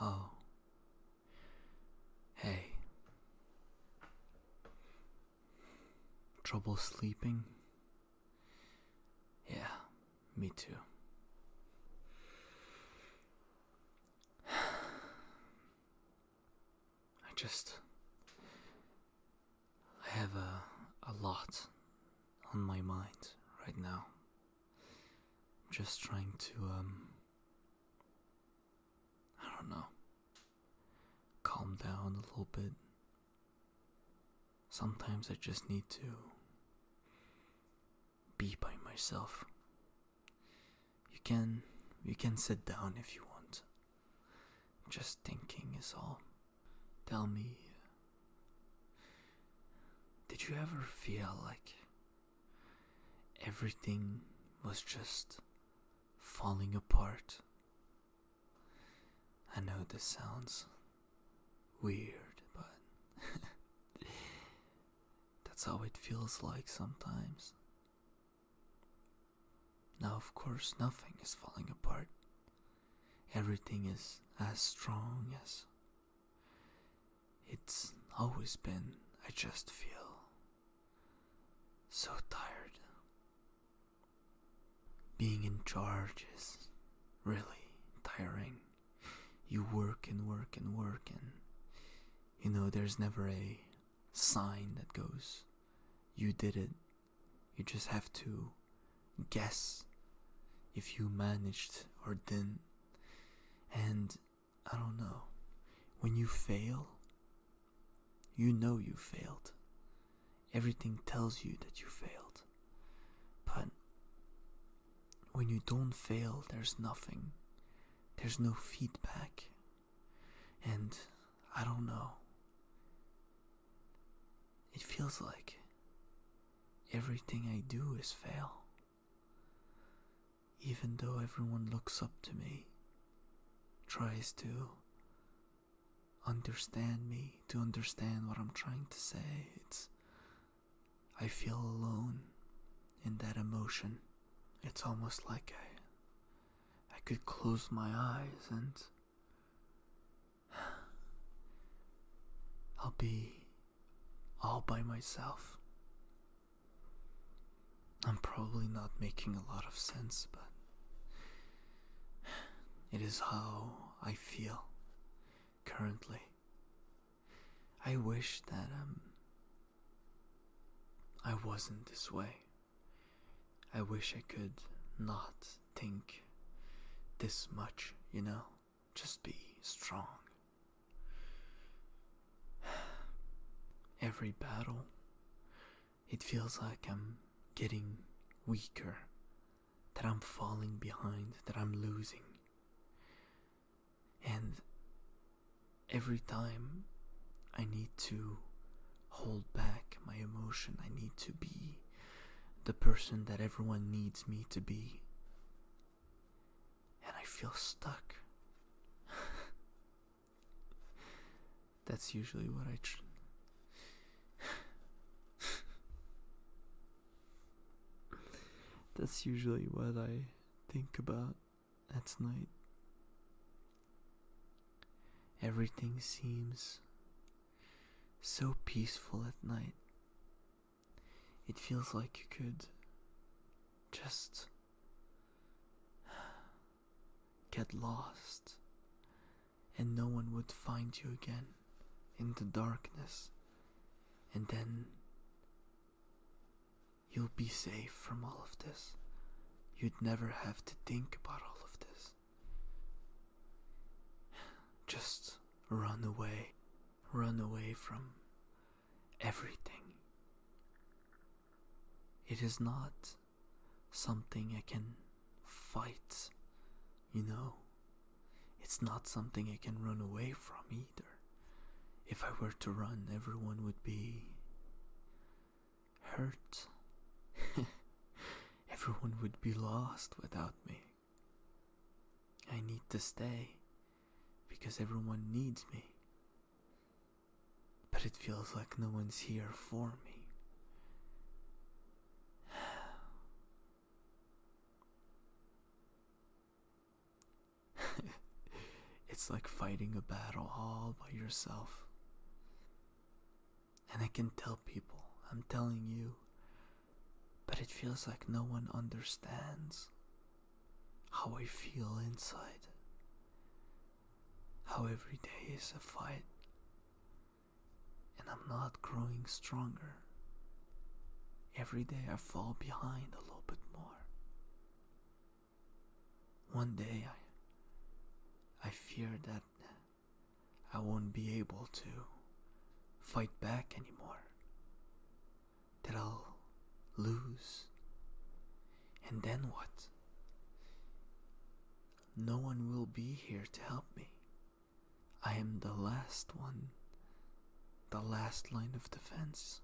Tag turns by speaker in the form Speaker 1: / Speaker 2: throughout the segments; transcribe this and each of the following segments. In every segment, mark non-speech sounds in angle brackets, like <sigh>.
Speaker 1: oh. Hey. Trouble sleeping? Yeah, me too. I just. I have a, a lot on my mind right now. I'm just trying to, um, I don't know. Calm down a little bit. Sometimes I just need to be by myself you can you can sit down if you want. Just thinking is all. Tell me Did you ever feel like everything was just falling apart? I know this sounds weird, but <laughs> that's how it feels like sometimes. Now, of course, nothing is falling apart. Everything is as strong as it's always been. I just feel so tired. Being in charge is really tiring. You work and work and work, and you know, there's never a sign that goes, You did it. You just have to guess if you managed or didn't. And I don't know, when you fail, you know you failed. Everything tells you that you failed. But when you don't fail, there's nothing, there's no feedback, and I don't know. It feels like everything I do is fail. Even though everyone looks up to me, tries to understand me, to understand what I'm trying to say, it's. I feel alone in that emotion. It's almost like I I could close my eyes and I'll be all by myself. I'm probably not making a lot of sense, but it is how I feel currently. I wish that I'm. Um, I wasn't this way. I wish I could not think this much, you know? Just be strong. <sighs> Every battle, it feels like I'm getting weaker, that I'm falling behind, that I'm losing and every time I need to hold back my emotion, I need to be the person that everyone needs me to be, and I feel stuck. <laughs> That's usually what I. <laughs> That's usually what I think about that's night. Everything seems so peaceful at night. It feels like you could just get lost and no one would find you again in the darkness. And then You'll be safe from all of this. You'd never have to think about all of this. Just run away. Run away from everything. It is not something I can fight, you know? It's not something I can run away from if I were to run, everyone would be hurt. <laughs> everyone would be lost without me. I need to stay because everyone needs me. But it feels like no one's here for me. <sighs> <laughs> it's like fighting a battle all by yourself. And I can tell people, I'm telling you, but it feels like no one understands how I feel inside. How every day is a fight, and I'm not growing stronger. Every day I fall behind a little bit more. One day I, I fear that I won't be able to fight back anymore. That I'll lose. And then what? No one will be here to help me. I am the last one the last line of defense.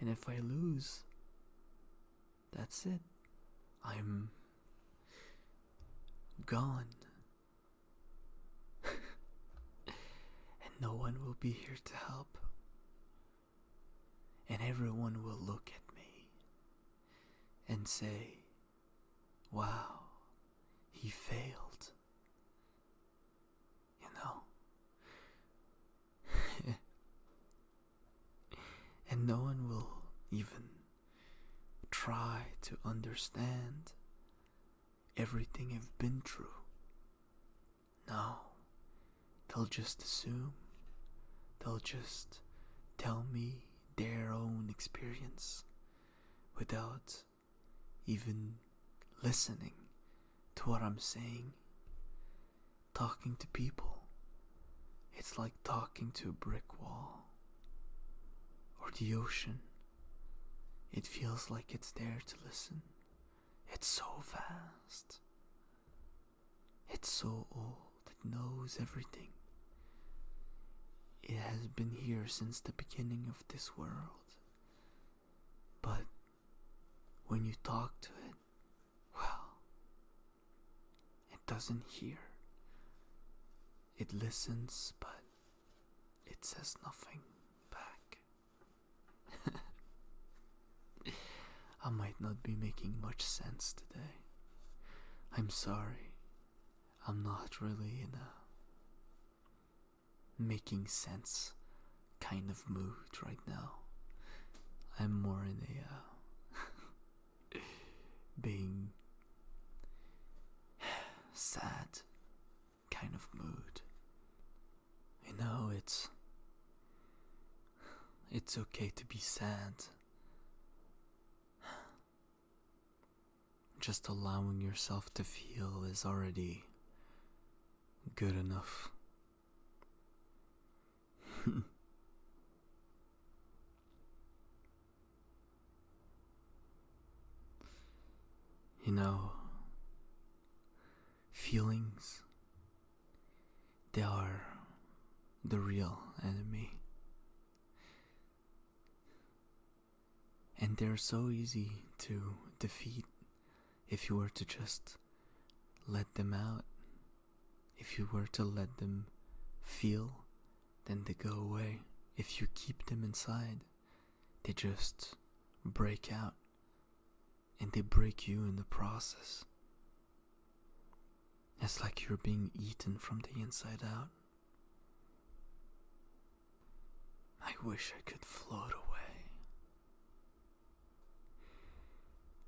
Speaker 1: and if I lose, that's it. I'm gone. and no one will be here to help. And everyone will look at me and say, Wow, he failed. You know? <laughs> and no one will even try to understand everything I've been through. No, they'll just assume, they'll just tell me their own experience without even listening to what I'm saying. Talking to people, it's like talking to a brick wall or the ocean. It feels like it's there to listen. It's so vast. It's so old, it knows everything. It has been here since the beginning of this world. But when you talk to it, well, it doesn't hear. It listens, but it says nothing back. <laughs> I might not be making much sense today. I'm sorry. I'm not really in a making sense kind of mood right now. I'm more in a uh, <laughs> being <sighs> sad kind of mood. You know, it's <sighs> it's okay to be sad. Just allowing yourself to feel is already good enough. <laughs> you know, feelings they are the real enemy. And they're so easy to defeat if you were to just let them out. If you were to let them feel, then they go away. If you keep them inside, they just break out and they break you in the process. It's like you're being eaten from the inside out. I wish I could float away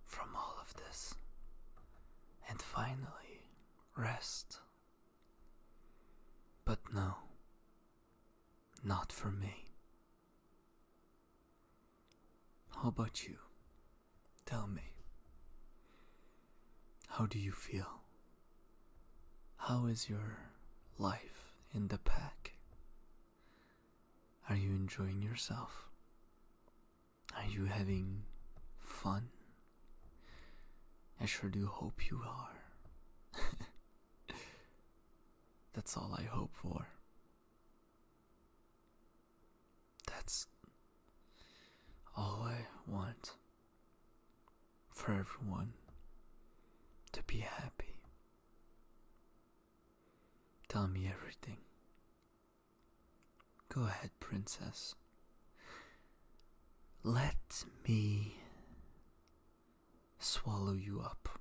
Speaker 1: from all of this and finally rest. But no, not for me. How about you? Tell me. How do you feel? How is your life in the pack? Are you enjoying yourself? Are you having fun? I sure do hope you are. <laughs> That's all I hope for. That's all I want for everyone to be happy. Tell me everything. Go ahead, princess. Let me swallow you up.